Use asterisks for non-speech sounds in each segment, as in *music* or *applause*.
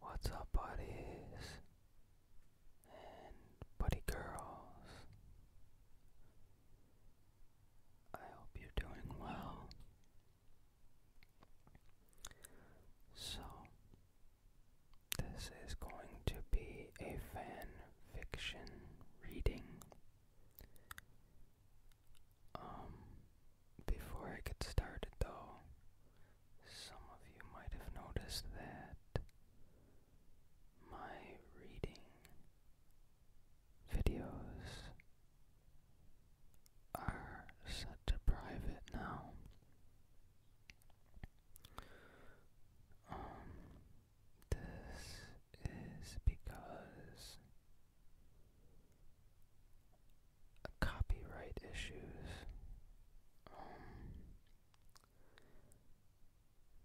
What's up, buddies and buddy girls? I hope you're doing well. So, this is going to be a fan fiction reading. Um, before I get started, though, some of you might have noticed that my reading videos are set to private now. Um, this is because copyright issues. Um,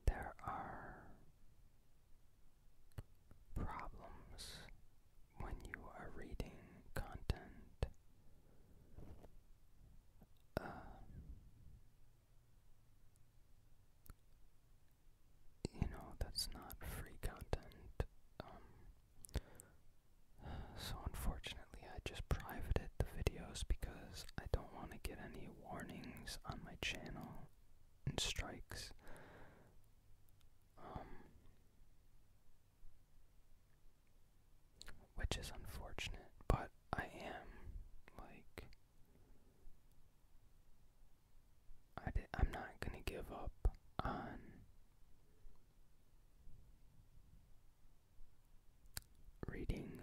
there are problems when you are reading content. Uh, you know, that's not free content. Um, so unfortunately, I just privated the videos because I don't want to get any warnings on my channel and strikes. Um, which is unfortunate, but I am like I'm not going to give up on reading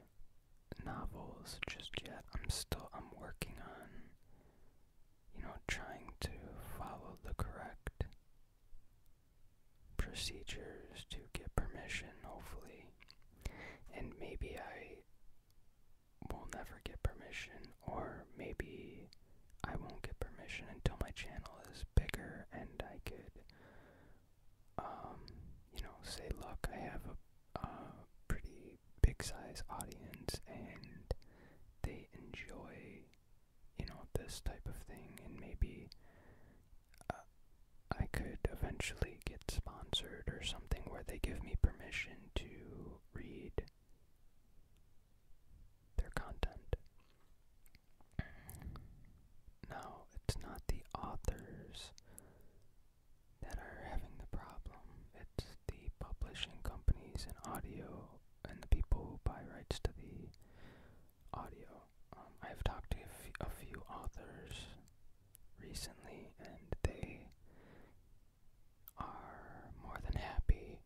novels just yet. I'm still I'm working on you know trying to follow the correct procedures to get permission hopefully and maybe I will never get permission or maybe I won't get permission until my channel is bigger and I could, um, you know, say, look, I have a, pretty big size audience and they enjoy, you know, this type of thing, and maybe uh, I could eventually get sponsored or something where they give me permission to read their content. No, it's not the authors that are having the problem. It's the publishing companies and audio and the people who buy rights to the audio. Um, I've talked to a few authors recently, and they are more than happy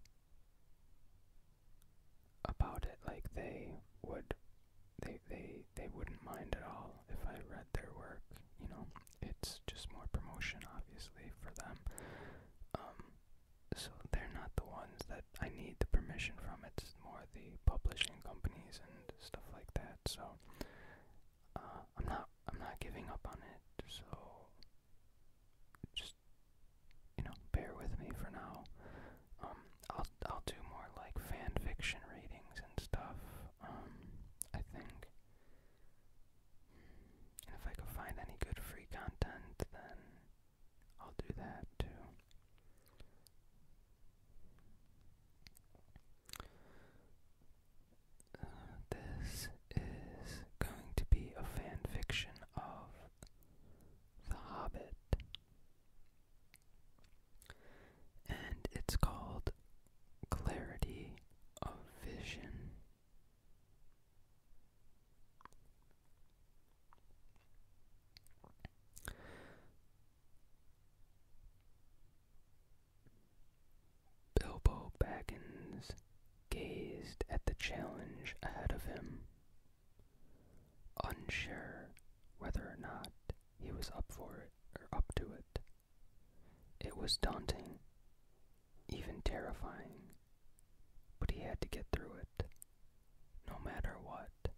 about it like they would they they they wouldn't mind at all if I read their work, you know. It's just more promotion obviously for them. Um so they're not the ones that I need the permission from. It's more the publishing companies and stuff like that. So uh, I'm not I'm not giving up on it. So just you know bear with me for now. Um, I'll I'll do more like fan fiction readings and stuff. Um, I think, and if I could find any good free content, then I'll do that too. Uh, this is going to be a fan fiction of the Hobbit. And it's called Clarity of Vision. Bilbo Baggins gazed at the challenge ahead of him unsure whether or not he was up for it or up to it. It was daunting, even terrifying, but he had to get through it, no matter what.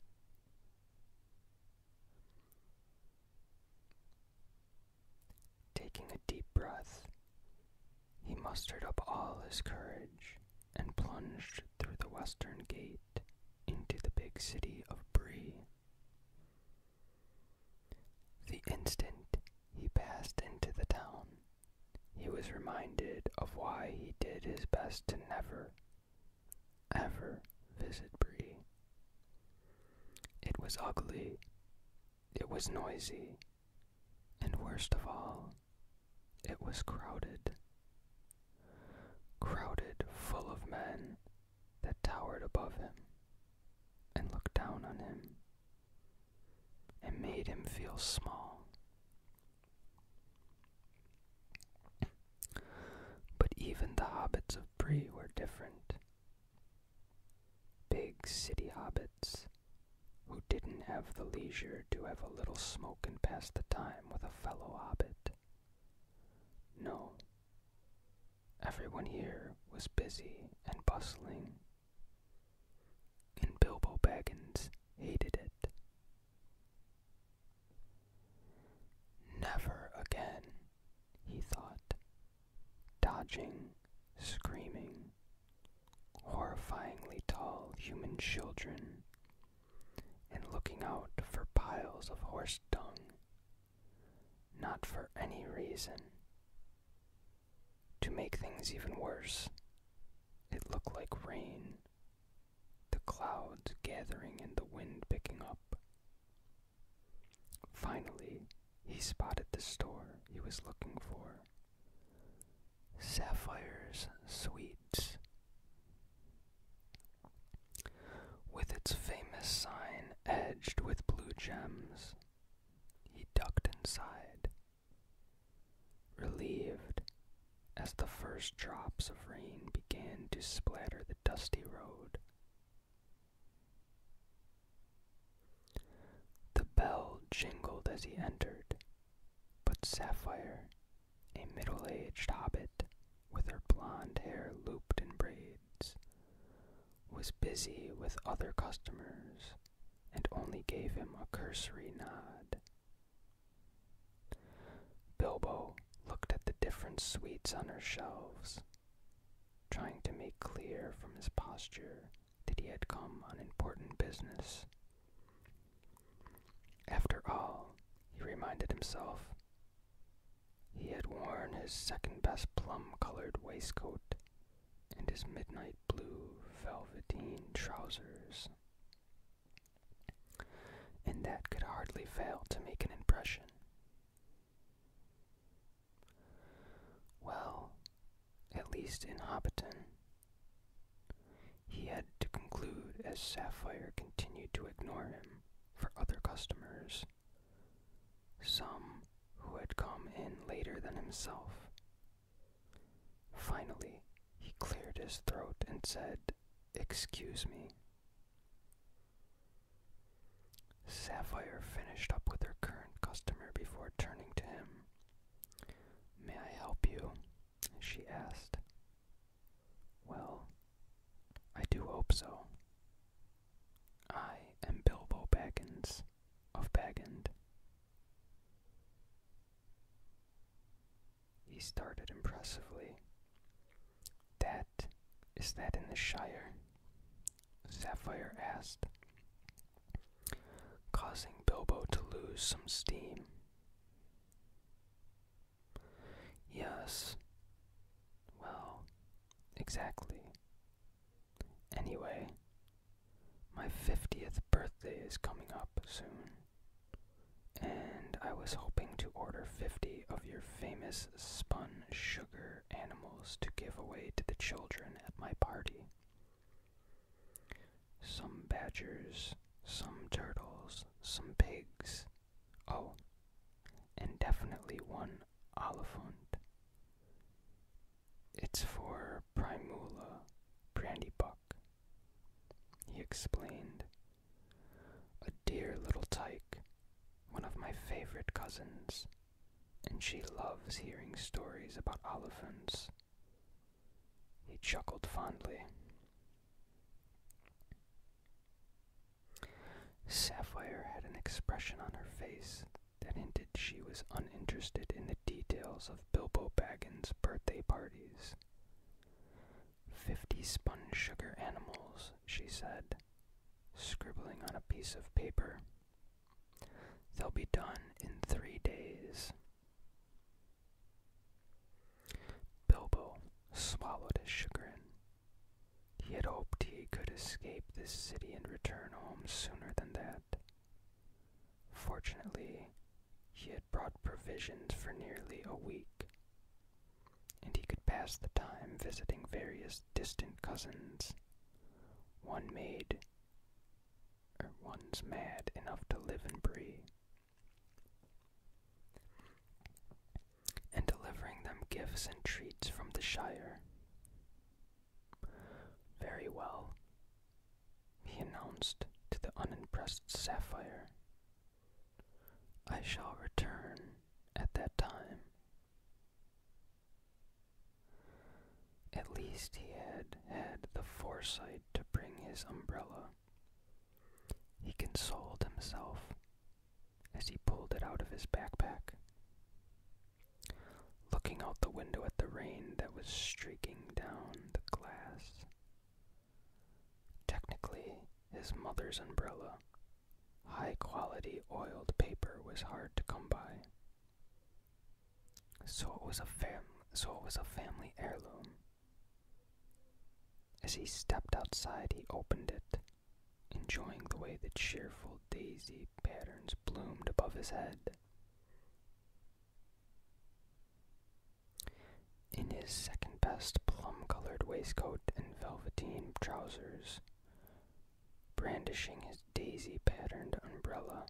Taking a deep breath, he mustered up all his courage and plunged through the western gate into the big city of Bree. The instant he passed into the town, he was reminded of why he did his best to never, ever visit Bree. It was ugly, it was noisy, and worst of all, it was crowded. Crowded full of men that towered above him and looked down on him and made him feel small. But even the hobbits of Bree were different. Big city hobbits who didn't have the leisure to have a little smoke and pass the time with a fellow hobbit. No. Everyone here was busy and bustling, and Bilbo Baggins hated it. Never again, he thought, dodging, screaming, horrifyingly tall human children and looking out for piles of horse dung, not for any reason. To make things even worse, it looked like rain, the clouds gathering and the wind picking up. Finally, he spotted the store he was looking for Sapphire's Sweets. With its famous sign edged with blue gems, he ducked inside, relieved as the first drops of rain began to splatter the dusty road. The bell jingled as he entered, but Sapphire a middle aged hobbit with her blond hair looped in braids, was busy with other customers and only gave him a cursory nod. Bilbo looked at the different sweets on her shelves, trying to make clear from his posture that he had come on important business after all, he reminded himself, he had worn his second best plum colored waistcoat and his midnight blue velveteen trousers. And that could hardly fail to make an impression. Well, at least in Hobbiton, he had to conclude as Sapphire continued to ignore him for other customers, some who had come in later than himself. Finally, he cleared his throat and said, Excuse me. Sapphire finished up with her current customer before turning to him May I help you? she asked. Well, I do hope so. I am Bilbo Baggins of Baggins. He started impressively. That is that in the Shire? Sapphire asked, causing Bilbo to lose some steam. Yes. Well, exactly. Anyway, my 50th birthday is coming up soon, and I was hoping to order 50 of your famous spun sugar animals to give away to the children at my party. Some badgers, some turtles, some pigs. Oh, and definitely one oliphant. It's for Primula Brandybuck, he explained. A dear little tyke, one of my favorite cousins, and she loves hearing stories about oliphants. He chuckled fondly. Sapphire had an expression on her face that hinted she was uninterested in the details of Bilbo Baggins' birthday parties. Fifty sponge sugar animals, she said, scribbling on a piece of paper. They'll be done in three days. Bilbo swallowed his chagrin. He had hoped he could escape this city and return home sooner than that. Fortunately, he had brought provisions for nearly a week, and he could pass the time visiting various distant cousins. One made, or er, one's mad enough to live and breathe, and delivering them gifts and treats from the Shire. Very well, he announced to the unimpressed Sapphire. I shall return at that time. At least he had had the foresight to bring his umbrella. He consoled himself as he pulled it out of his backpack. Looking out the window at the rain that was streaking down the glass. Technically, his mother's umbrella, high quality oiled paper, was hard to come by. So it was a fam so it was a family heirloom. As he stepped outside, he opened it, enjoying the way the cheerful daisy patterns bloomed above his head. In his second best plum colored waistcoat and velveteen trousers, brandishing his daisy patterned umbrella,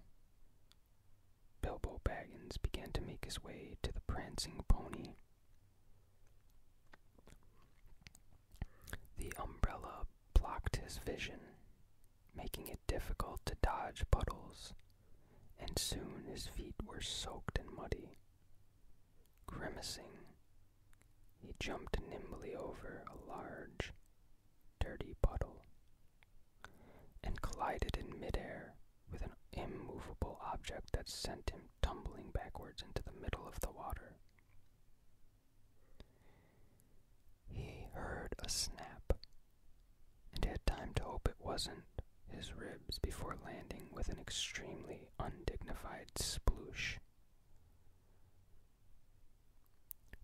Bilbo Baggins began to make his way to the prancing pony. The umbrella blocked his vision, making it difficult to dodge puddles, and soon his feet were soaked and muddy. Grimacing, he jumped nimbly over a large, dirty puddle and collided in midair with an immovable object that sent him tumbling backwards into the middle of the water. He heard a snap and had time to hope it wasn't his ribs before landing with an extremely undignified sploosh.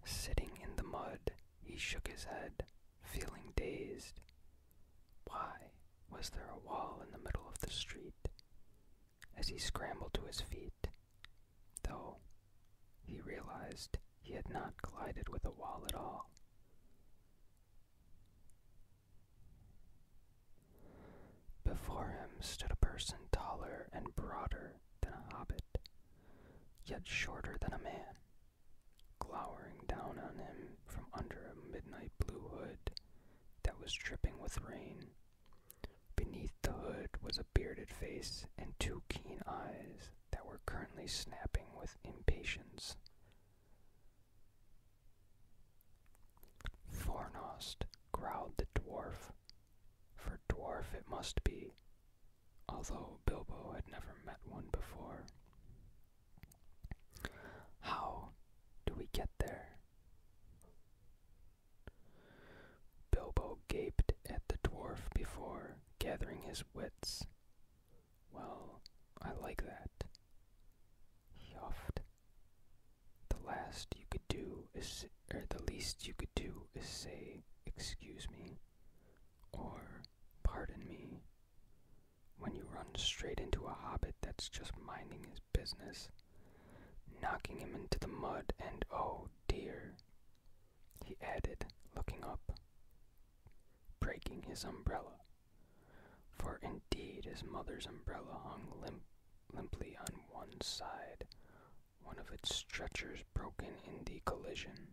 Sitting in the mud, he shook his head feeling dazed. Why was there a wall in the middle of the street? As he scrambled to his feet, though, he realized he had not collided with a wall at all. Before him stood a person taller and broader than a hobbit, yet shorter than a man glowering down on him from under a midnight blue hood that was dripping with rain. Beneath the hood was a bearded face and two keen eyes that were currently snapping with impatience. Fornost, growled the dwarf. For dwarf it must be, although Bilbo had never met one before. How do we get there? Bilbo gaped at the dwarf before gathering his wits. Well, I like that. He huffed. The last you could do is, or the least you could do is say, excuse me, or pardon me, when you run straight into a hobbit that's just minding his business, knocking him into the mud, and oh dear, he added, looking up, breaking his umbrella. For indeed his mother's umbrella hung limp, limply on one side, one of its stretchers broken in the collision.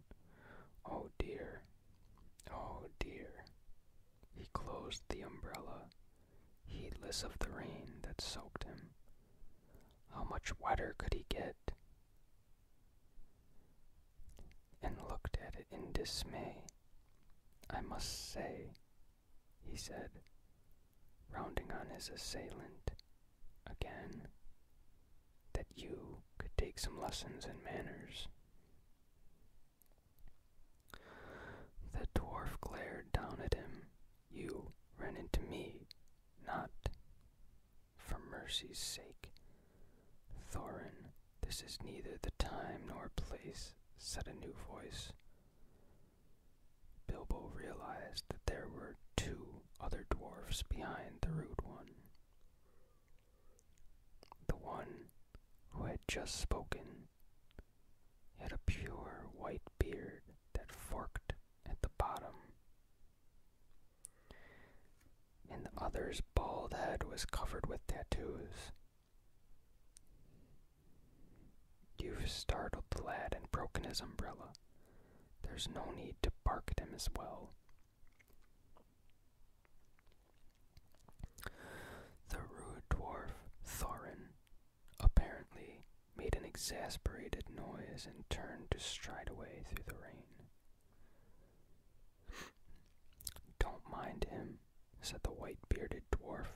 Oh dear, Oh dear. He closed the umbrella, heedless of the rain that soaked him. How much wetter could he get? And looked at it in dismay. I must say, he said, rounding on his assailant again, that you could take some lessons in manners. The dwarf glared down at him. You ran into me, not. For mercy's sake. Thorin, this is neither the time nor place, said a new voice. Bilbo realized that there were two other dwarfs behind the rude one. The one who had just spoken had a pure white beard that forked at the bottom, and the other's bald head was covered with tattoos. You've startled the lad and broken his umbrella. There's no need to bark at him as well, the rude dwarf, Thorin, apparently made an exasperated noise and turned to stride away through the rain. Don't mind him, said the white bearded dwarf,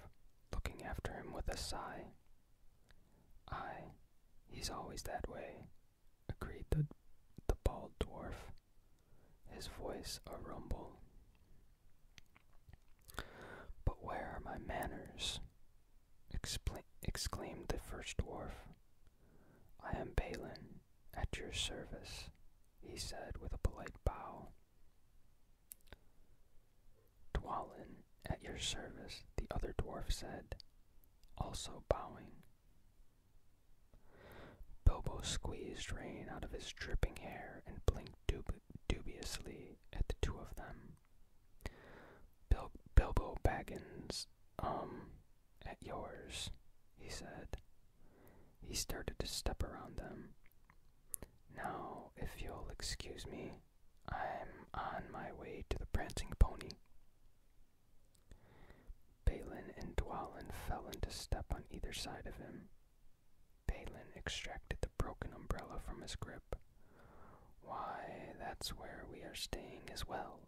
looking after him with a sigh. Aye, he's always that way, agreed the bald dwarf his voice a rumble. But where are my manners? exclaimed the first dwarf. I am Balin, at your service, he said with a polite bow. Dwalin, at your service, the other dwarf said, also bowing. Bobo squeezed rain out of his dripping hair and blinked dubiously at the two of them. Bilbo Baggins, um, at yours, he said. He started to step around them. Now, if you'll excuse me, I'm on my way to the Prancing Pony. Balin and Dwalin fell into step on either side of him. Balin extracted the broken umbrella from his grip. Why, that's where we are staying as well.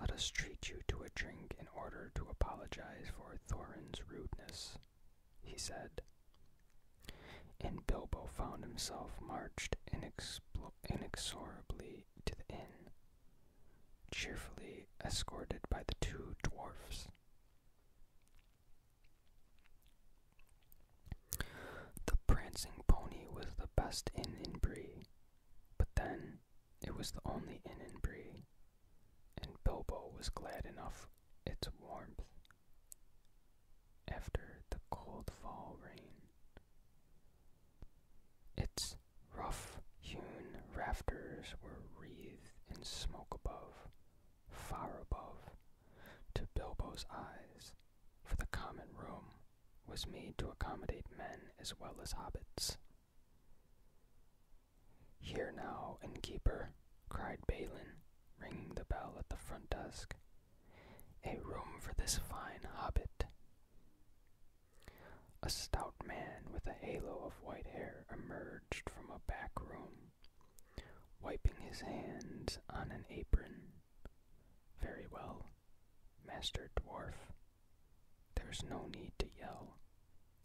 Let us treat you to a drink in order to apologize for Thorin's rudeness, he said. And Bilbo found himself marched inexorably to the inn cheerfully escorted by the two dwarfs. The prancing pony was the best inn in Bree, but then it was the only inn in Bree, and Bilbo was glad enough its warmth after the cold fall rain. Its rough hewn rafters were wreathed in smoke above, far above, to Bilbo's eyes, for the common room was made to accommodate men as well as hobbits. Here now, innkeeper, cried Balin, ringing the bell at the front desk. A room for this fine hobbit. A stout man with a halo of white hair emerged from a back room, wiping his hands on an apron. Very well, Master Dwarf. There's no need to yell,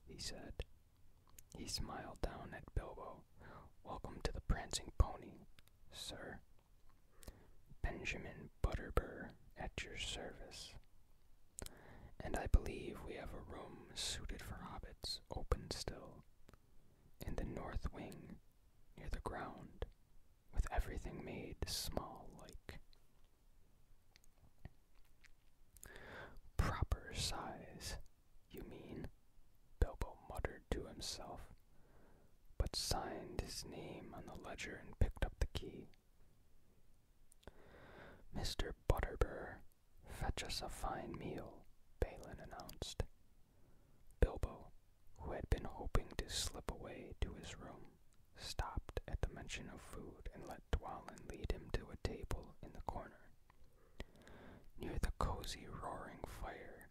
he said. He smiled down at Bilbo. Welcome to the prancing pony, sir. Benjamin Butterbur at your service, and I believe we have a room suited for hobbits open still, in the north wing, near the ground, with everything made small like. Proper size, you mean? Bilbo muttered to himself, but signed his name on the ledger and picked up the key. Mr. Butterbur, fetch us a fine meal, Balin announced. Bilbo, who had been hoping to slip away to his room, stopped at the mention of food and let Dwalin lead him to a table in the corner. Near the cozy, roaring fire,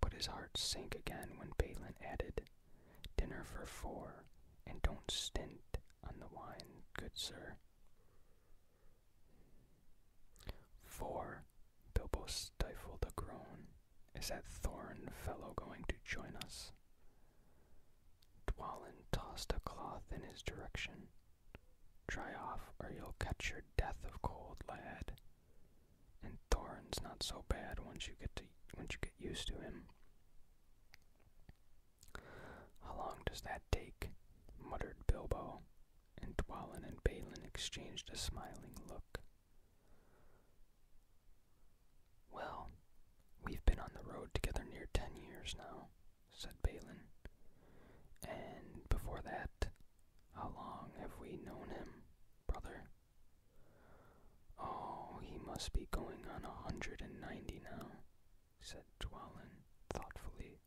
but his heart sank again when Balin added, dinner for four, and don't stint on the wine, good sir. Four, Bilbo stifled a groan. Is that Thorn fellow going to join us? Dwalin tossed a cloth in his direction. Try off, or you'll catch your death of cold, lad. And Thorin's not so bad once you get to once you get used to him. How long does that take? muttered Bilbo, and Dwalin and Balin exchanged a smiling look. Well, we've been on the road together near ten years now, said Balin. And before that, how long have we known him, brother? Oh, he must be going on a hundred and ninety now, said Dwallin thoughtfully.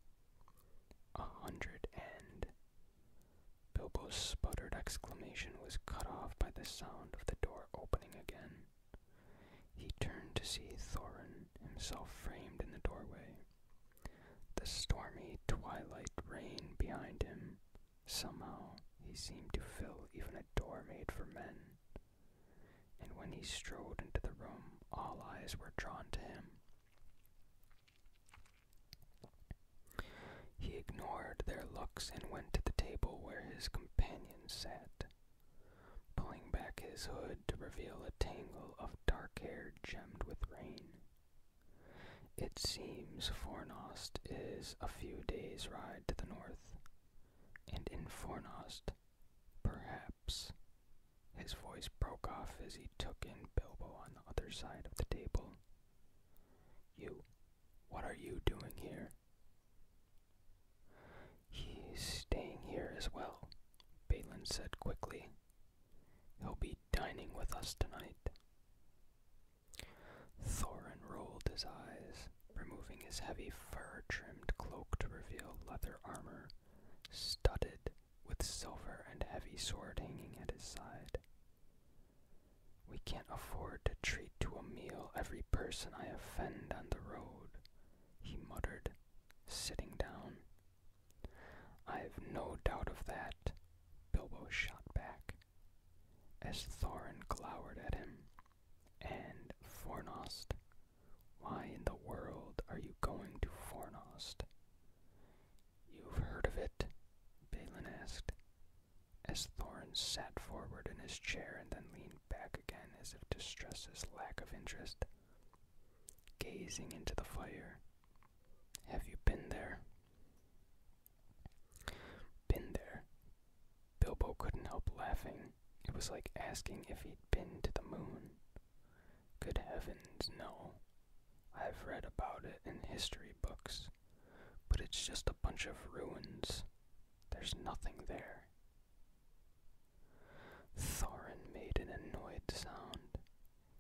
A hundred and. Bilbo's sputtered exclamation was cut off by the sound of the door opening again. He turned to see Thorin himself framed in the doorway. The stormy twilight reigned behind him. Somehow he seemed to fill even a door made for men and when he strode into the room, all eyes were drawn to him. He ignored their looks and went to the table where his companions sat, pulling back his hood to reveal a tangle of dark hair gemmed with rain. It seems Fornost is a few days' ride to the north, and in Fornost Perhaps. His voice broke off as he took in Bilbo on the other side of the table. You. What are you doing here? He's staying here as well, Balin said quickly. He'll be dining with us tonight. Thorin rolled his eyes removing his heavy fur-trimmed cloak to reveal leather armor studded with silver and heavy sword hanging at his side. We can't afford to treat to a meal every person I offend on the road, he muttered, sitting down. I've no doubt of that, Bilbo shot back. As Thorin glowered at him, and Fornost. Why in the world are you going to Fornost? You've heard of it? Balin asked, as Thorin sat forward in his chair and then leaned back again as if to stress his lack of interest, gazing into the fire. Have you been there? Been there, Bilbo couldn't help laughing. It was like asking if he'd been to the moon. Good heavens, no. I've read about it in history books, but it's just a bunch of ruins. There's nothing there. Thorin made an annoyed sound.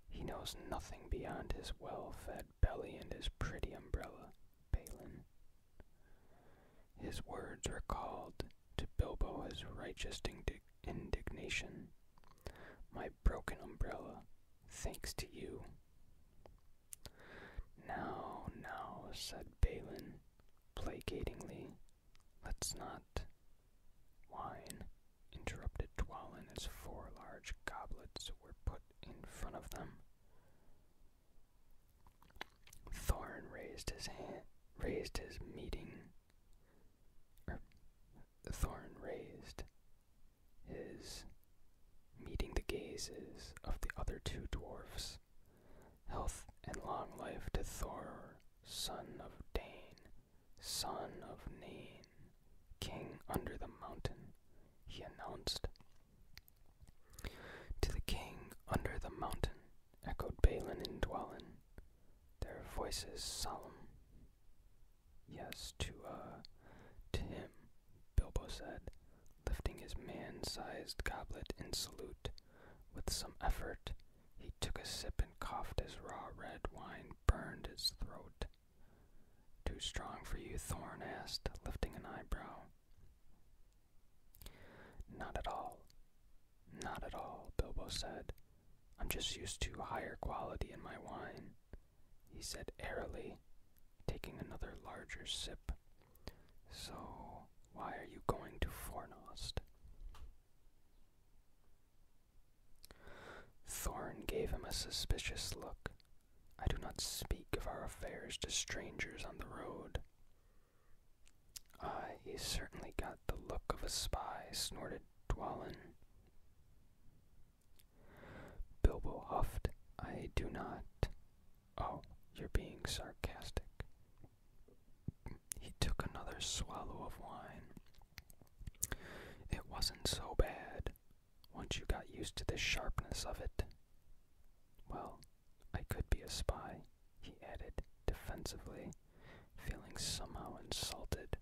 He knows nothing beyond his well fed belly and his pretty umbrella, Balin. His words recalled to Bilbo his righteous indignation. My broken umbrella, thanks to you. Now, now, said Balin, placatingly, let's not. Wine, interrupted Dwalin as four large goblets were put in front of them. Thorn raised his hand, raised his meeting, or er, Thorn raised his meeting the gazes of the other two dwarfs. Health and long life to Thor, son of Dane, son of Nain, king under the mountain, he announced. To the king under the mountain, echoed Balin and Dwalin, their voices solemn. Yes, to, a, uh, to him, Bilbo said, lifting his man sized goblet in salute. With some effort, he took a sip and coughed as raw red wine burned his throat. Too strong for you? Thorn asked, lifting an eyebrow. Not at all. Not at all, Bilbo said. I'm just used to higher quality in my wine, he said airily, taking another larger sip. So, why are you going to Fornost? Thorn gave him a suspicious look. I do not speak of our affairs to strangers on the road. Uh, he's certainly got the look of a spy, snorted Dwallin. Bilbo huffed. I do not. Oh, you're being sarcastic. He took another swallow of wine. It wasn't so bad once you got used to the sharpness of it. Well, I could be a spy, he added defensively, feeling somehow insulted.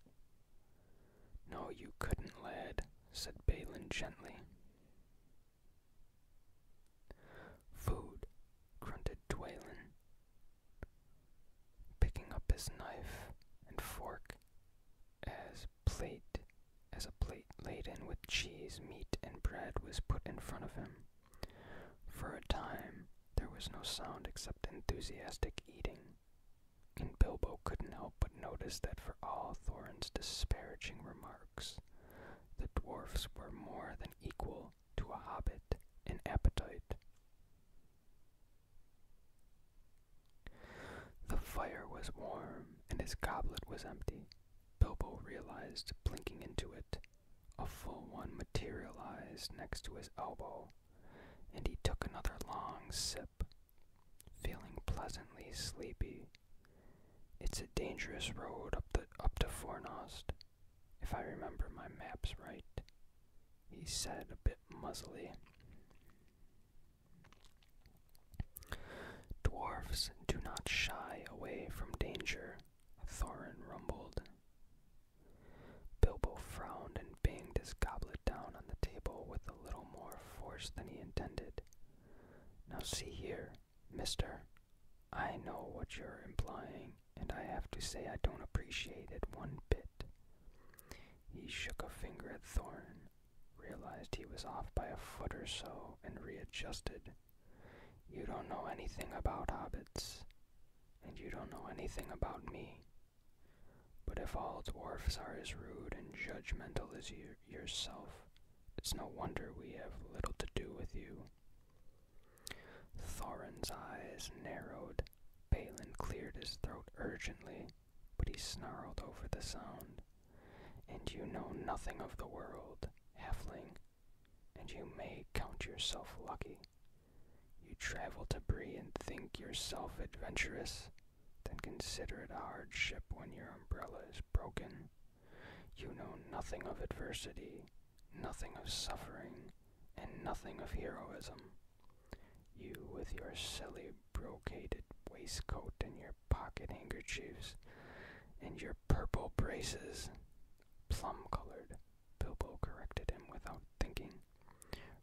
No, you couldn't, lad, said Balin gently. Food, grunted Dwaylen, picking up his knife and fork as plate as a plate laden with cheese, meat, and bread was put in front of him. For a time, there was no sound except enthusiastic eating, and Bilbo couldn't help but notice that for all Thorin's disparaging remarks, the dwarfs were more than equal to a hobbit in appetite. The fire was warm, and his goblet was empty. Bilbo realized, blinking into it, a full one materialized next to his elbow, and he took another long sip, feeling pleasantly sleepy. It's a dangerous road up the up to Fornost, if I remember my maps right, he said a bit muzzily. Dwarfs do not shy away from danger, Thorin rumbled. Bilbo frowned and banged his goblet down on the table with a little more force than he intended. Now see here, mister. I know what you're implying, and I have to say I don't appreciate it one bit. He shook a finger at Thorin, realized he was off by a foot or so, and readjusted. You don't know anything about hobbits, and you don't know anything about me. But if all dwarfs are as rude and judgmental as yourself, it's no wonder we have little to do with you. Thorin's eyes narrowed. Balin cleared his throat urgently, but he snarled over the sound. And you know nothing of the world, halfling, and you may count yourself lucky. You travel to Brie and think yourself adventurous, then consider it a hardship when your umbrella is broken. You know nothing of adversity, nothing of suffering, and nothing of heroism. You, with your silly brocaded waistcoat and your pocket handkerchiefs and your purple braces, Plum-colored, Bilbo corrected him without thinking.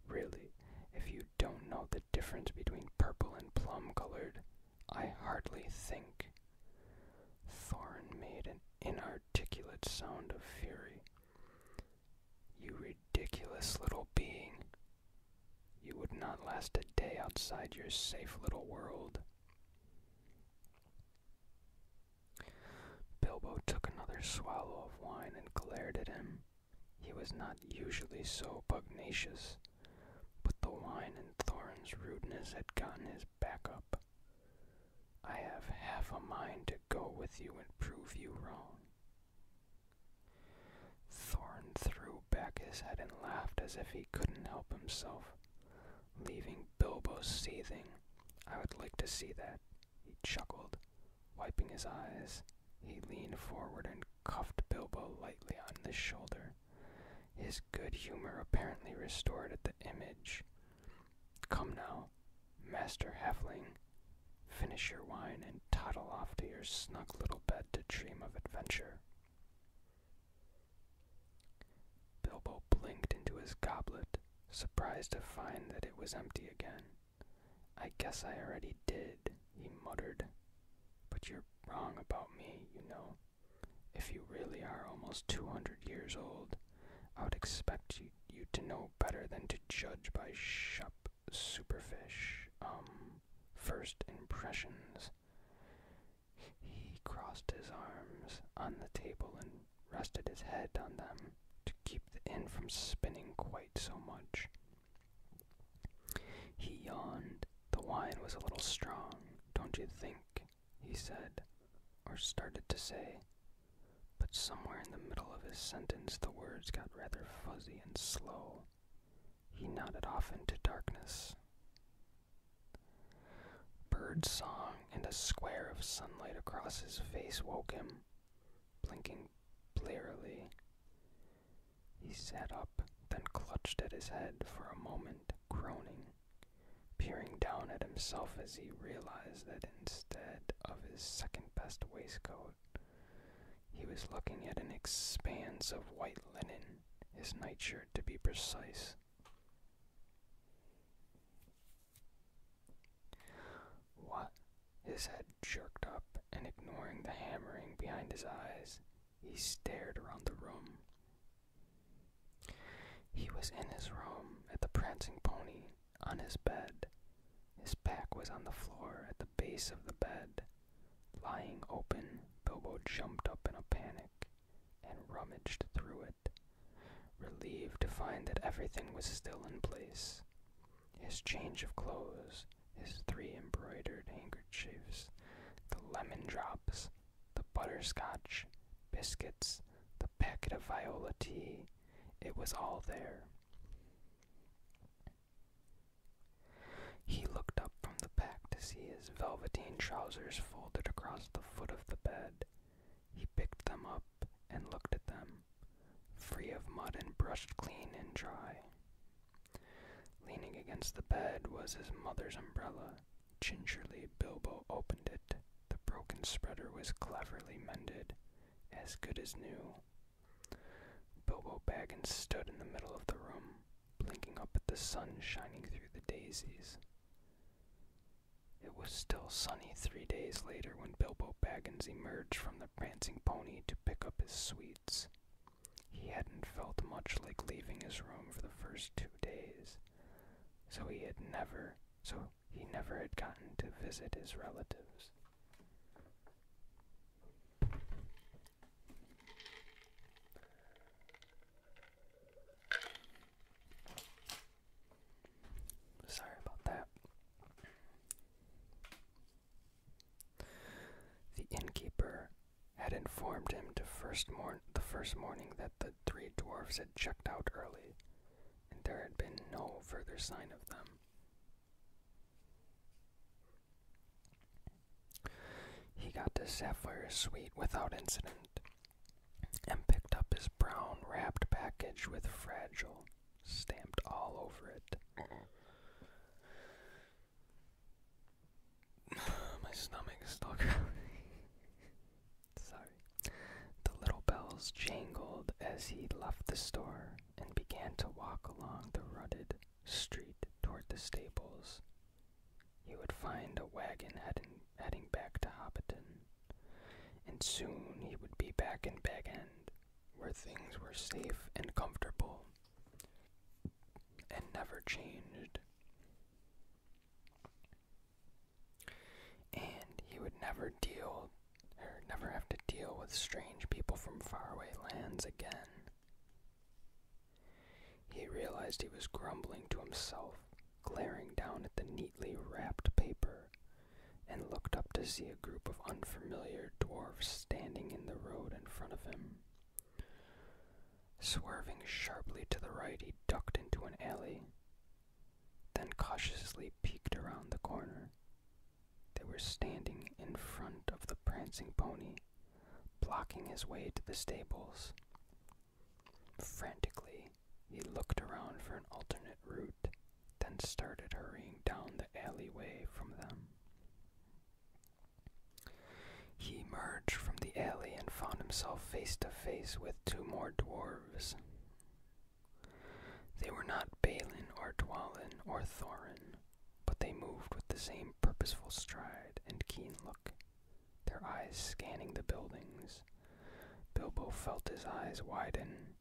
Really, if you don't know the difference between purple and plum-colored, I hardly think. Thorin made an inarticulate sound of fury. You ridiculous little being. You would not last a day outside your safe little world. Bilbo took another swallow of wine and glared at him. He was not usually so pugnacious, but the wine and Thorin's rudeness had gotten his back up. I have half a mind to go with you and prove you wrong. Thorin threw back his head and laughed as if he couldn't help himself leaving Bilbo seething. I would like to see that, he chuckled. Wiping his eyes, he leaned forward and cuffed Bilbo lightly on the shoulder. His good humor apparently restored at the image. Come now, Master Halfling, finish your wine and toddle off to your snug little bed to dream of adventure. Bilbo blinked into his goblet, surprised to find that it was empty again. I guess I already did, he muttered. But you're wrong about me, you know. If you really are almost 200 years old, I would expect you, to know better than to judge by sharp superfish, um, first impressions. He crossed his arms on the table and rested his head on them to keep the end from spinning quite so much. He yawned. The wine was a little strong, don't you think? he said, or started to say. But somewhere in the middle of his sentence the words got rather fuzzy and slow. He nodded off into darkness. Bird song and a square of sunlight across his face woke him, blinking blearily. He sat up, then clutched at his head for a moment, groaning, peering down at himself as he realized that instead of his second best waistcoat, he was looking at an expanse of white linen, his nightshirt to be precise. What? His head jerked up, and ignoring the hammering behind his eyes, he stared around the room. He was in his room at the prancing pony, on his bed. His back was on the floor at the base of the bed. Lying open, Bilbo jumped up in a panic and rummaged through it, relieved to find that everything was still in place his change of clothes, his three embroidered handkerchiefs, the lemon drops, the butterscotch, biscuits, the packet of viola tea. It was all there. He looked up from the pack to see his velveteen trousers folded across the foot of the bed. He picked them up and looked at them, free of mud and brushed clean and dry. Leaning against the bed was his mother's umbrella. Gingerly Bilbo opened it. The broken spreader was cleverly mended, as good as new. Bilbo Baggins stood in the middle of the room, blinking up at the sun shining through the daisies. It was still sunny three days later when Bilbo Baggins emerged from the prancing pony to pick up his sweets. He hadn't felt much like leaving his room for the first two days, so he had never so he never had gotten to visit his relatives. Sorry about that. The innkeeper had informed him to first morn the first morning that the three dwarfs had checked out early, and there had been no further sign of them. He got to Zephyr's suite without incident, and picked up his brown wrapped package with fragile stamped all over it. *sighs* My stomach is still *laughs* Sorry. The little bells jangled as he left the store and began to walk along the rutted street toward the stables. He would find a wagon heading, heading back to Hobbiton, and soon he would be back in Bag End, where things were safe and comfortable, and never changed. And he would never deal, or never have to deal with strange people from faraway lands again. He realized he was grumbling to himself, glaring down at the neatly wrapped paper, and looked up to see a group of unfamiliar dwarfs standing in the road in front of him. Swerving sharply to the right, he ducked into an alley, then cautiously peeked around the corner. They were standing in front of the prancing pony, blocking his way to the stables. Frantically, he looked around for an alternate route, then started hurrying down the alleyway from them. He emerged from the alley and found himself face to face with two more dwarves. They were not Balin or Dwalin or Thorin, but they moved with the same purposeful stride and keen look their eyes scanning the buildings. Bilbo felt his eyes widen,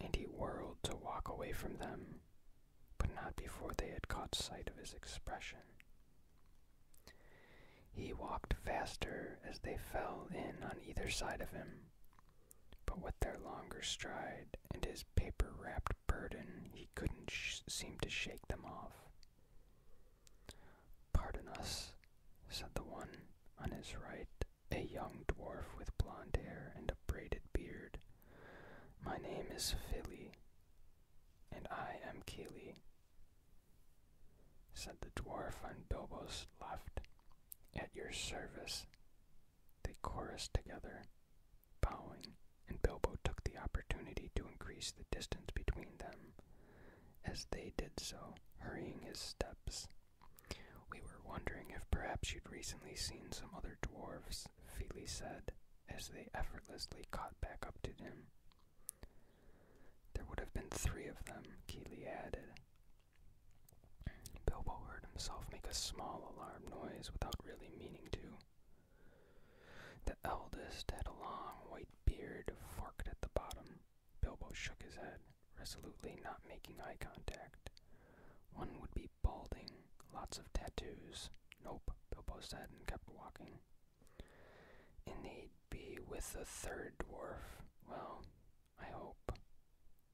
and he whirled to walk away from them, but not before they had caught sight of his expression. He walked faster as they fell in on either side of him, but with their longer stride and his paper wrapped burden, he couldn't seem to shake them off. Pardon us, said the one on his right, a young dwarf with blond hair and a braided beard. My name is Philly, and I am Keely, said the dwarf on Bilbo's left. At your service. They chorused together, bowing, and Bilbo took the opportunity to increase the distance between them. As they did so, hurrying his steps, we were wondering if perhaps you'd recently seen some other dwarfs, Feely said, as they effortlessly caught back up to him. There would have been three of them, Keeley added. Bilbo heard himself make a small alarm noise without really meaning to. The eldest had a long white beard forked at the bottom. Bilbo shook his head, resolutely not making eye contact. One would be balding, lots of tattoos. Nope, Bilbo said and kept walking. In they be with the third dwarf. Well, I hope,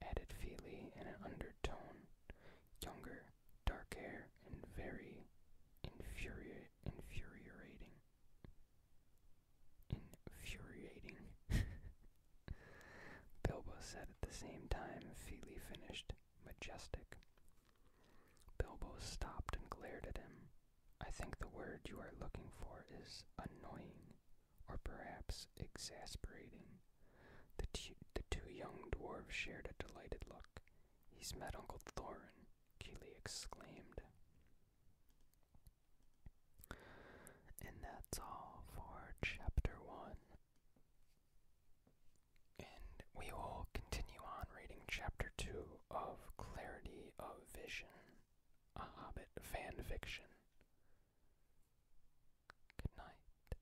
added Feely in an undertone. Younger, dark hair, and very infuriating. Infuriating. *laughs* Bilbo said at the same time Feely finished, majestic. Bilbo stopped and glared at him. I think the word you are looking for is annoying, or perhaps exasperating. The, two young dwarves shared a delighted look. He's met Uncle Thorin, Keeley exclaimed. And that's all for chapter one. And we will continue on reading chapter two of Clarity of Vision, a Hobbit fan Good night.